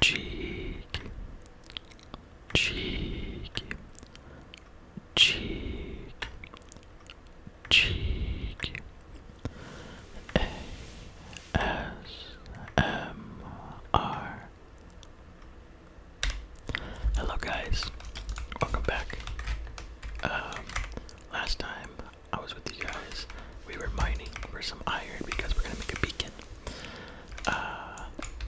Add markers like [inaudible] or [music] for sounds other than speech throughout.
cheek, cheek, cheek, cheek. A S M R. Hello, guys. Welcome back. Um, last time I was with you guys, we were mining for some iron because we're gonna make a beacon. Uh,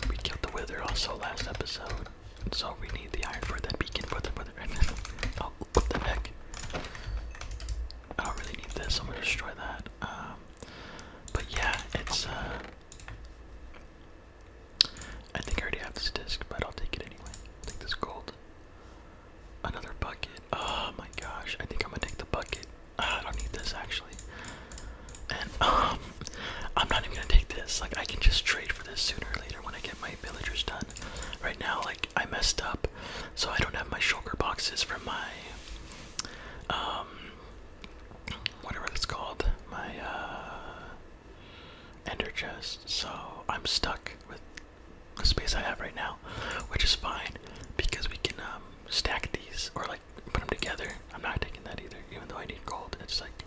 we killed the wither also last episode, so we need the iron for that beacon for the wither. [laughs] oh, what the heck? I don't really need this. I'm gonna destroy that. Um, but yeah, it's. Uh, I think I already have this disc, but I'll take it anyway. I'll take this gold. Another bucket. Oh my gosh! I think I'm gonna take the bucket. I don't need this actually. And um, I'm not even gonna take this. Like I can just trade for this sooner or later when I get my villagers done. Right now, like I messed up, so I don't have my shulker boxes from my um, whatever it's called, my uh, ender chest. So I'm stuck with the space I have right now, which is fine because we can um stack these or like put them together. I'm not taking that either, even though I need gold. It's like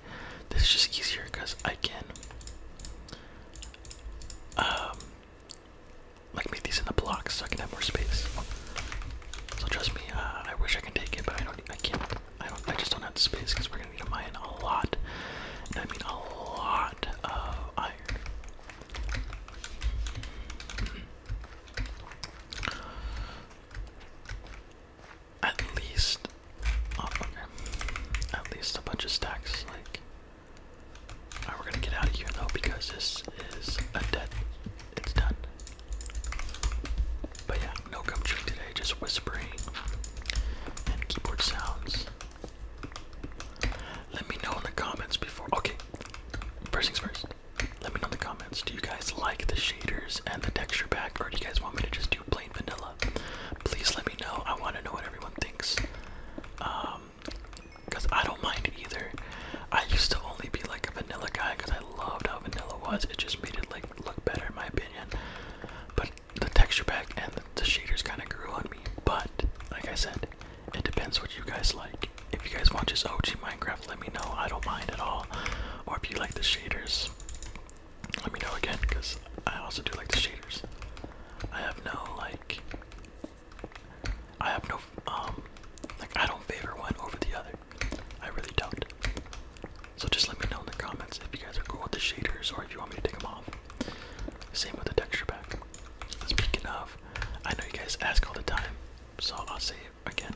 this is just easier because I can um like make these in the blocks so I can have more space. So trust me, uh, I wish I can take it, but I don't. I can't. I don't. I just don't have the space because we're gonna need to mine a lot, and I mean a lot of iron. At least, oh, at least a bunch of stacks. Like, all right, we're gonna get out of here though because this is a dead. It's done. But yeah, no gum chewing today. Just whispering and keyboard sounds. Let me know in the comments before. Okay, first things first. Let me know in the comments. Do you guys like the shaders and the texture pack, or do you guys want me to just do plain vanilla? Please let me know. I want to know what everyone thinks. Um, cause I don't mind either. I used to only be like a vanilla guy because I loved how vanilla was. It just made it like look better in my opinion. But the texture pack and the, the shaders kind of grew on me. But like I said, it depends what you guys like if you guys want just OG Minecraft, let me know. I don't mind at all. Or if you like the shaders, let me know again, because I also do like the shaders. I have no like. I have no um, like I don't favor one over the other. I really don't. So just let me know in the comments if you guys are cool with the shaders or if you want me to take them off. Same with the texture pack. Speaking of, I know you guys ask all the time, so I'll say again.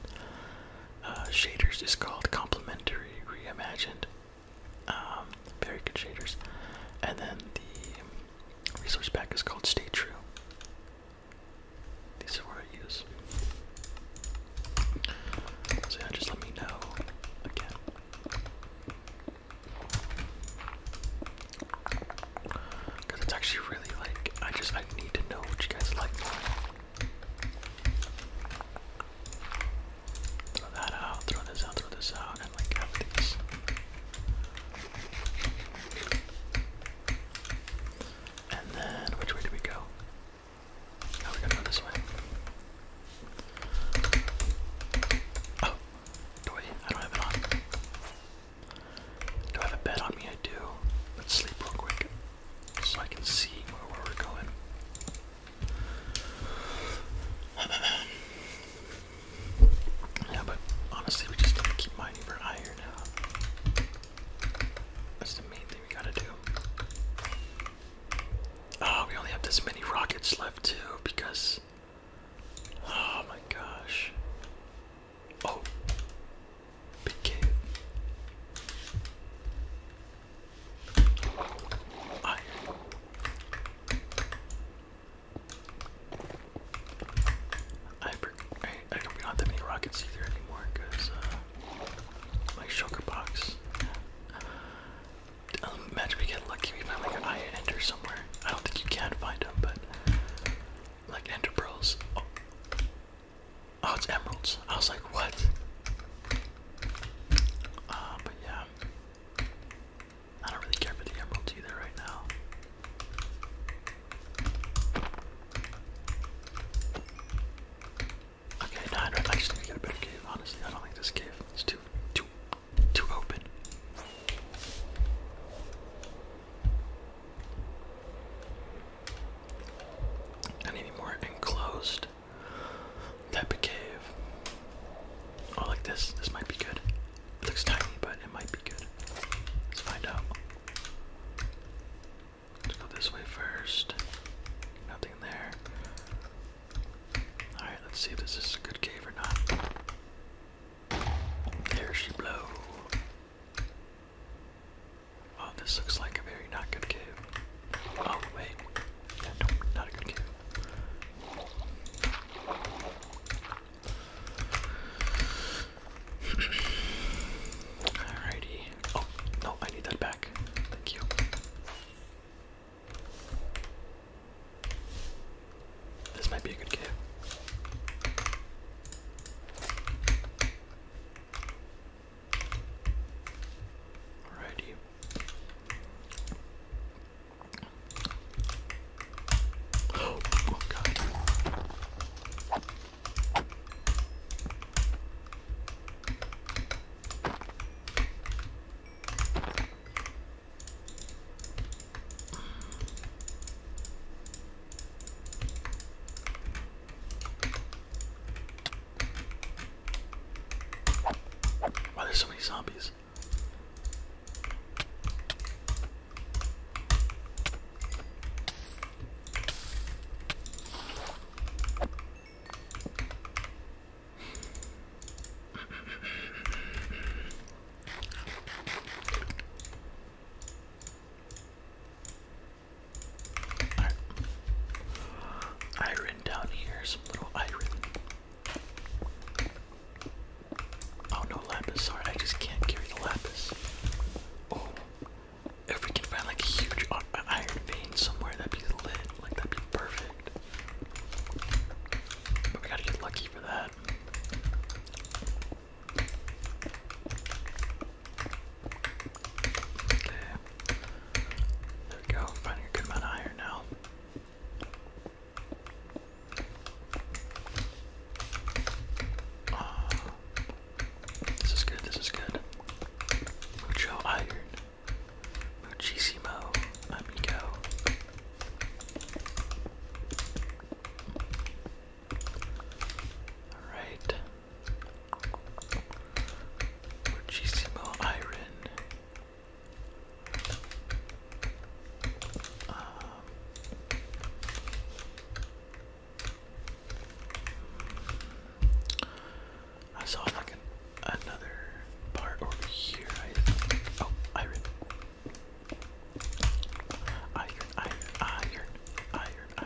Uh, shaders is called Complementary Reimagined. Um, very good shaders. And then the resource pack is called Stay True. These are what I use. So yeah, just let me know again. Cause it's actually really like I just I need to know what you guys like. Throw that out, throw this out, throw this out, and like have these. And then which way do we go? Now we're gonna go this way. Oh, do I? I don't have it on. Do I have a bed on me? I do. Let's sleep real quick so I can see where we're going. [clears throat] yeah, but honestly, we just gotta keep mining for iron That's the main thing we gotta do. Oh, we only have this many rockets left too because. Oh my gosh. Oh, big I, I, I that many rockets either anymore because uh, my sugar box. Um, imagine we get lucky, we find like an iron ender somewhere. I don't think you can find them, but like ender pearls. Oh, Oh, it's emeralds. I was like, what? Uh, but yeah. I don't really care for the emeralds either right now. Okay, no, I, I get a better cave, honestly. I don't think this cave is too too too open and any more enclosed type cave. Oh, like this. This might be good. looks tiny, but it might be good. Let's find out. Let's go this way first. Nothing there. Alright, let's see if this is a good cave or not. There she blow. Oh, this looks like a very not good cave. Oh, wait. no, not a good cave. Alrighty. Oh, no, I need that back. Thank you. This might be a good cave. Alrighty. Oh, oh god. Why there's so many zombies? Alright. Iron down here, some little iron. Oh no lapis, sorry, I just can't carry the lapis. Oh, if we can find like a huge iron vein somewhere, that'd be lit, like that'd be perfect. But we gotta get lucky for that. Okay. There we go. Finding a good amount of iron now. Uh, this is good, this is good. Mucho iron. Muchísimo, amigo. Alright. Muchísimo iron. Ah. I saw like an, another part over here. oh, iron. Iron, iron, iron, iron,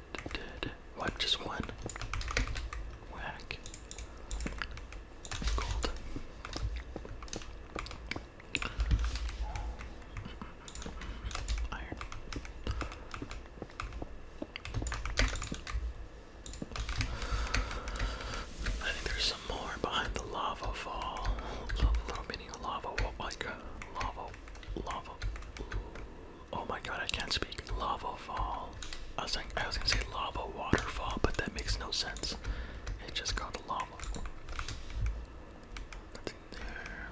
What? Just one? Whack. Gold. Iron. I think there's some more behind the lava fall. Little, mini lava, like lava, lava, Oh my god, I can't speak. Lava fall. I was like, I was gonna say lava waterfall, but that makes no sense. It's just called lava. That's in there.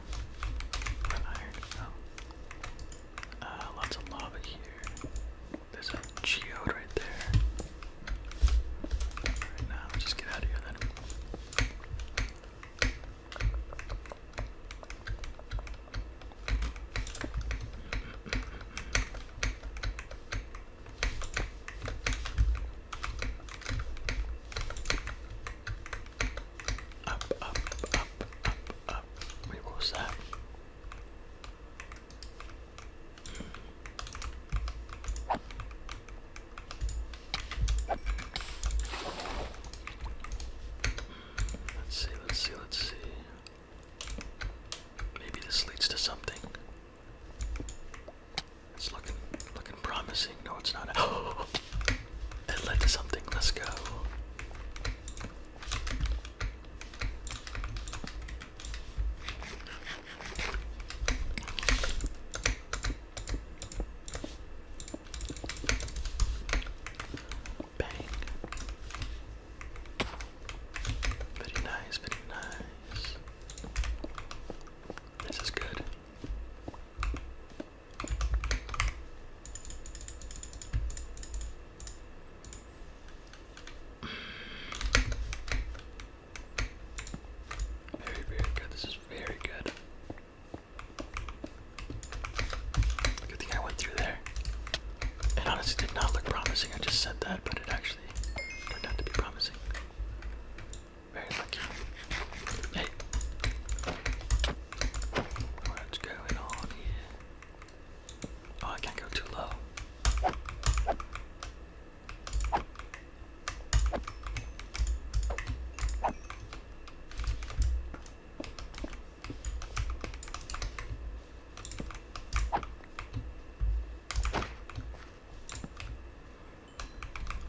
iron. Uh, lots of lava here. There's a geode right there. Right now, just get out of here then. Up, up, up, up, up. Wait, what was that? Let's see, let's see, let's see. Maybe this leads to something. It's looking looking promising. No, it's not. Oh, [gasps] it led to something. Let's go. Very nice, very nice. This is good. Very, very good. This is very good. Good thing I went through there. It honestly did not look promising. I just said that, but it actually turned out to be promising. Very lucky. Hey. What's going on here? Oh, I can't go too low.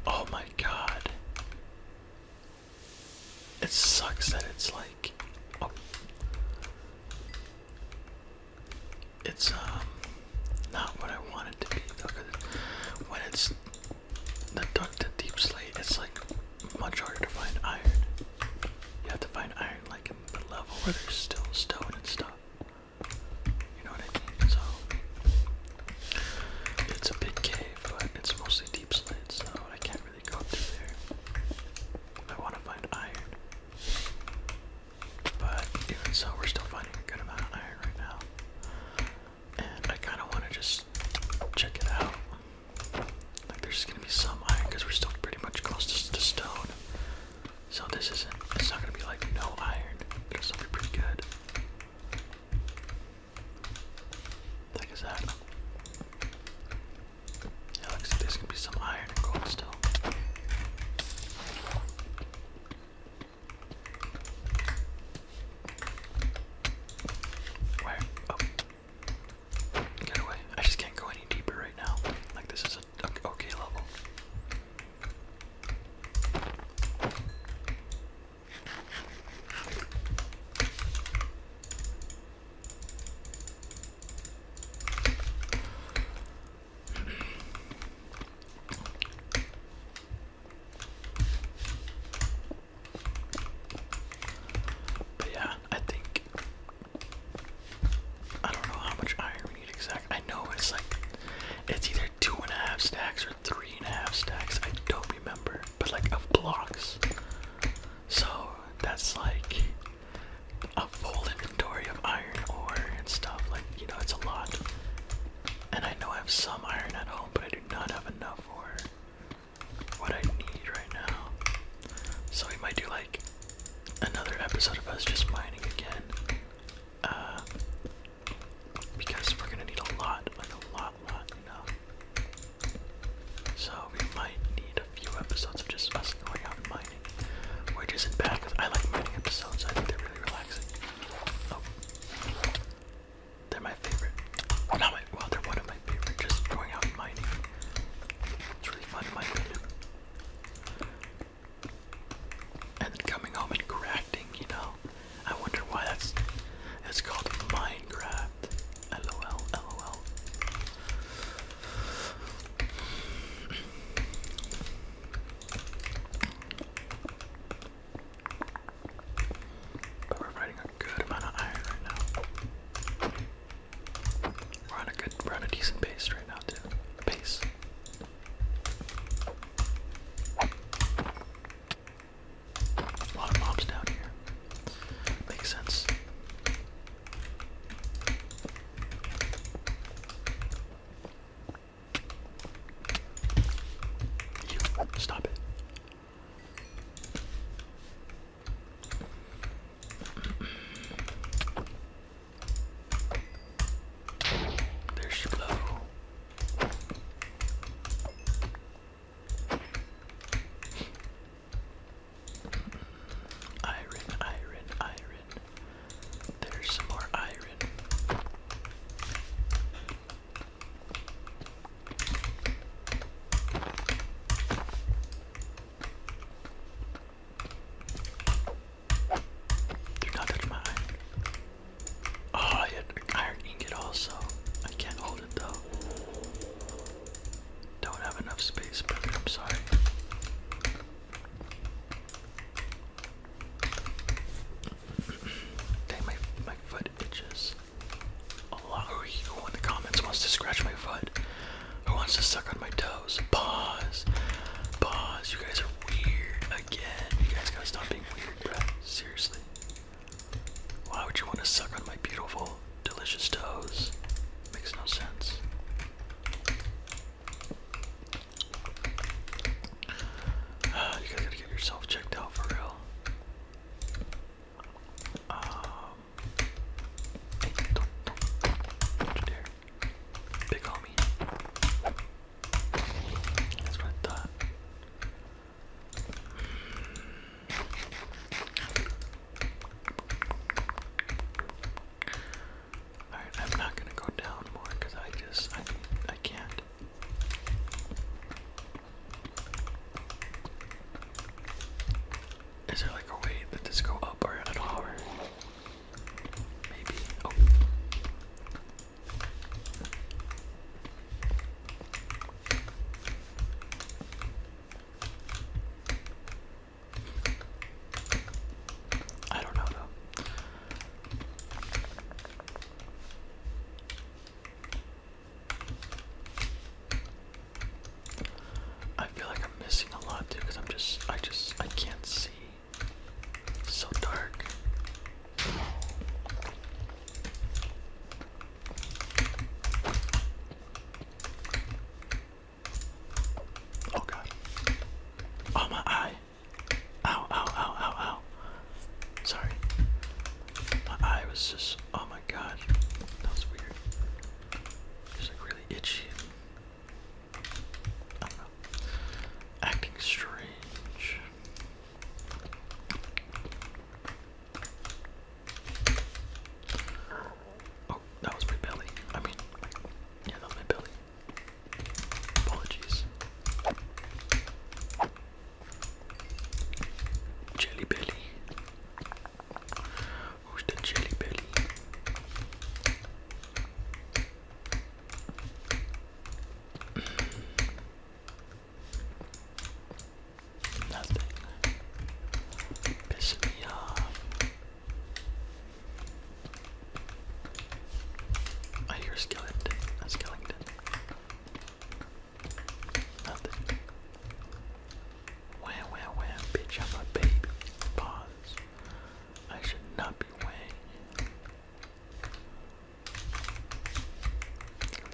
Oh my god. It sucks that it's like oh. It's um not what I want to be though. When it's the duck to deep slate, it's like much harder to find iron. You have to find iron like in the level where there's still stone and stuff. You know what I mean? So it's a big cave, but it's mostly deep slate, so I can't really go up to there. I want to find iron. But even so, we're still finding a good amount of iron right now. And I kind of want to just check it out. Like there's gonna be some iron because we're still pretty much close to, the stone. So this isn't, it's not gonna be like no iron. It'll still be pretty good. Like is that? Yeah, looks like there's gonna be some iron and gold still. Where? Oh. Get away. I just can't go any deeper right now. Like, this is a okay level. But yeah, I think I don't know how much iron we need exactly. I know it's like it's either two and a half stacks or three and a half stacks. I don't remember, but like of blocks. So that's like a full inventory of iron ore and stuff. Like you know, it's a lot. And I know I have some iron at home, but I do not have enough for what I need right now. So we might do like another episode of us just mining again. Uh, because we're gonna need a lot, like a lot, lot, you So we might need a few episodes of just us going out and mining. Which isn't bad because I like mining episodes, I think they're really relaxing. Oh. They're my favorite. not my wow, they're one of my favorite. Just throwing out mining. It's really fun, in my And coming home and crafting, you know. I wonder why that's it's called Minecraft. LOL, LOL. But we're fighting a good amount of iron right now. We're on a good, we're on a decent pace right now, dude. Pace. A lot of mobs down here. Makes sense. You stop it. There's she blow. Iron, iron, iron. There's some more iron. Do not touch my iron. Oh, I had iron also. I can't hold it though. Don't have enough space, brother. I'm sorry. Dang, my my foot itches. Who in the comments wants to scratch my foot. Who wants to suck on my toes? Pause. Pause. You guys are weird again. You guys gotta stop being weird, bro. Seriously. Why would you want to suck on my beautiful, delicious toes? Makes no sense. Ah, you guys gotta get yourself checked out for real. Um, Big homie. That's what I thought. Alright, I'm not gonna go down more because I just I I can't. Is there like a way that this go up or down hour? Maybe. Oh. I don't know though. I feel like I'm missing a lot too because I'm just, I just, I can't see. It's so dark. Oh god. Oh my eye. Ow, ow, ow, ow, ow. Sorry. My eye was just, oh my god. That was weird. Just like really itchy. Acting strange. Oh, that was my belly. I mean, yeah, that was my belly. Apologies. Jelly belly. Mm. Nothing. Piss me off. I hear a skeleton. A skeleton. Nothing. Wham, wham, wham, bitch, I'm a baby. Pause. I should not be weighing.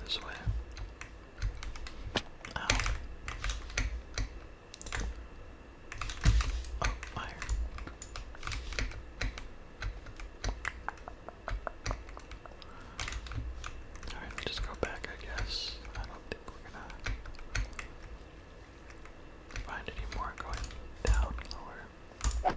This way. Ow. Oh, fire. Alright, just go back, I guess. I don't think we're gonna find any more going down lower.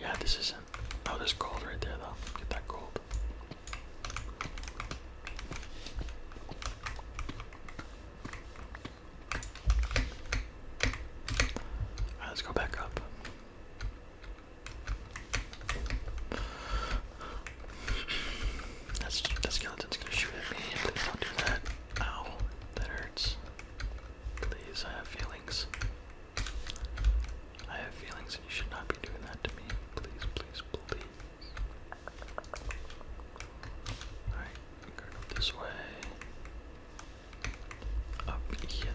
yeah, this isn't. Oh, there's gold right there, though. Get that gold. Alright, let's go back up. That's that skeleton's gonna shoot at me. Please don't do that. Ow, that hurts. Please, I have feelings. I have feelings, and you should not be doing that to me. Please, please, please. Alright, this way. Up hither.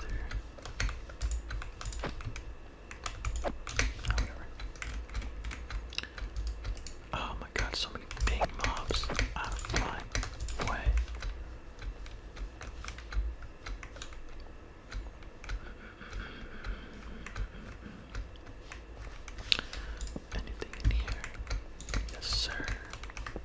Ah, oh, my god, so many big mobs out my way. Anything in here? Yes, sir. Mm.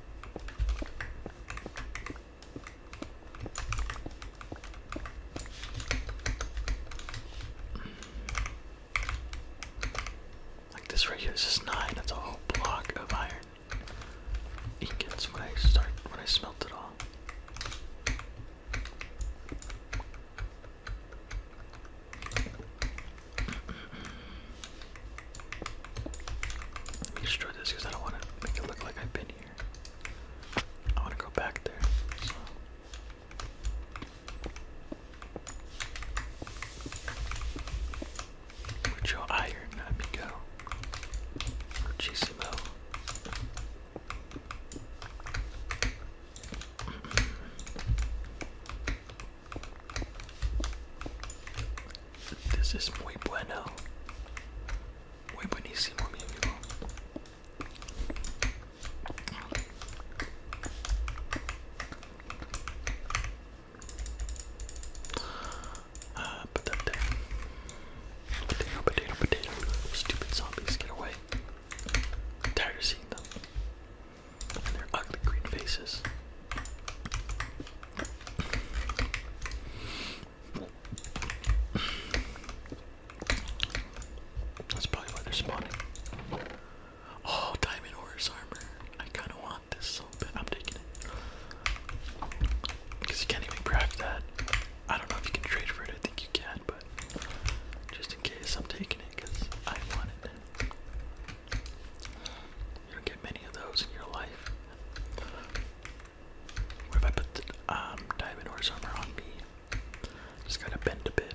Like this right here, this is nine. That's a whole block of iron. It gets when I start when I smelt it all destroy this because I don't want to make it look like I've been here. I want to go back there. So. your iron, let me this is muy bueno. Muy buenísimo, mi amigo. Uh, ah, put Potato, potato, potato. Stupid zombies, get away. tired of seeing them their ugly green faces. That's probably why they're spawning. Oh, diamond horse armor. I kind of want this so I'm taking it. Because you can't even craft that. I don't know if you can trade for it. I think you can, but just in case, I'm taking it because I want it. You don't get many of those in your life. What if I put the um, diamond horse armor on me? Just gotta bend a bit.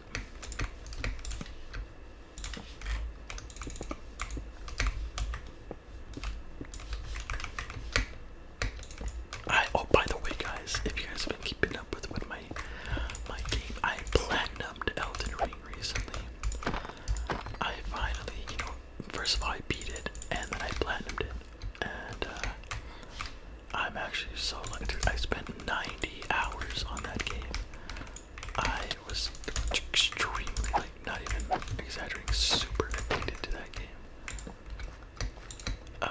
I oh by the way guys, if you guys have been keeping up with, with my my game, I platinumed Elden Ring recently. I finally, you know, first of all I beat it and then I platinumed it. And uh, I'm actually so lucky. I spent 90 hours on that game. I was extremely, like, not even exaggerating, super addicted to that game. Um,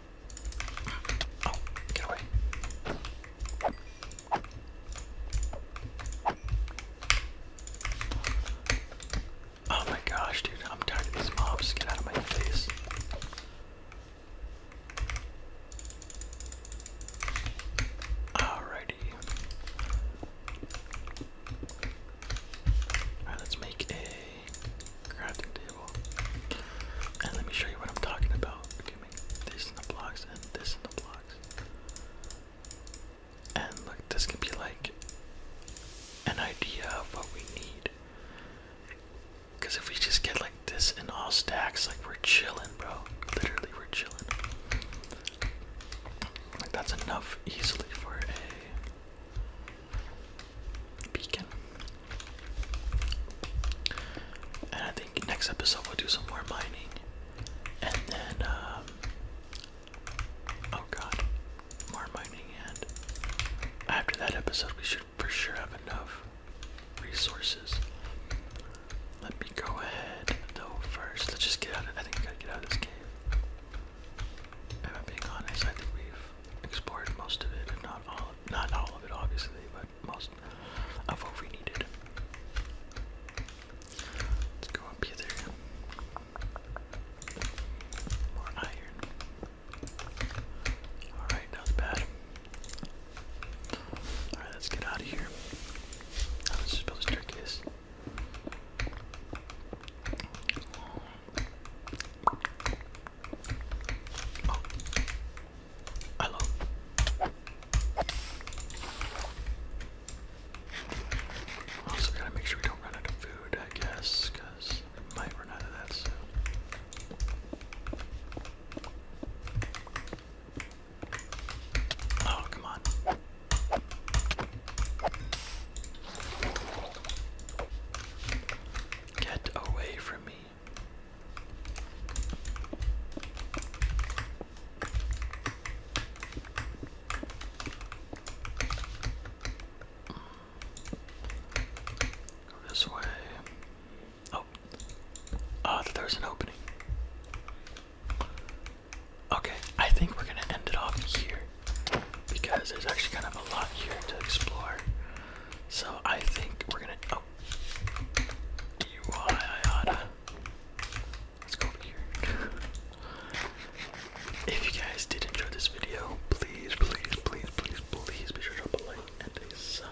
Oh, oh, my gosh, dude, I'm tired of these mobs. Get out of my face. Alrighty. Alright, let's make a crafting table. And let me show you what I'm talking about. this in the blocks and this in the blocks. And look, this can be like an idea of what we need. Because if we just get like this in all stacks, like we're chilling, bro. Literally, we're chilling. Like, that's enough easily for a beacon. And I think next episode we'll do some more mining. And then, um, oh god, more mining. And after that episode, we should for sure have enough resources. Let me go ahead though first. Let's just get out of I think we gotta get out of this cave. If I'm being honest, I think we've explored most of it, and not all, not all of it, obviously, but most of what we needed. Let's go up here. More iron. Alright, that bad. Alright, let's get out of here. let's build a staircase. Hello. Also gotta make sure we don't run out of food, I guess, might run out of that soon. Oh, come on. Get away from me. This way. Oh. Ah, there's an opening. Okay, I think we're gonna end it off here because there's actually kind of a lot here to explore. So I think we're gonna. Oh, out. Let's go here. [laughs] if you guys did enjoy this video, please, please, please, please, please be sure to drop a like and a sub.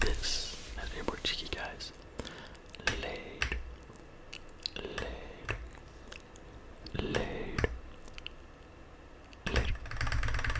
This has been more cheeky guys. Laid, laid, laid, laid.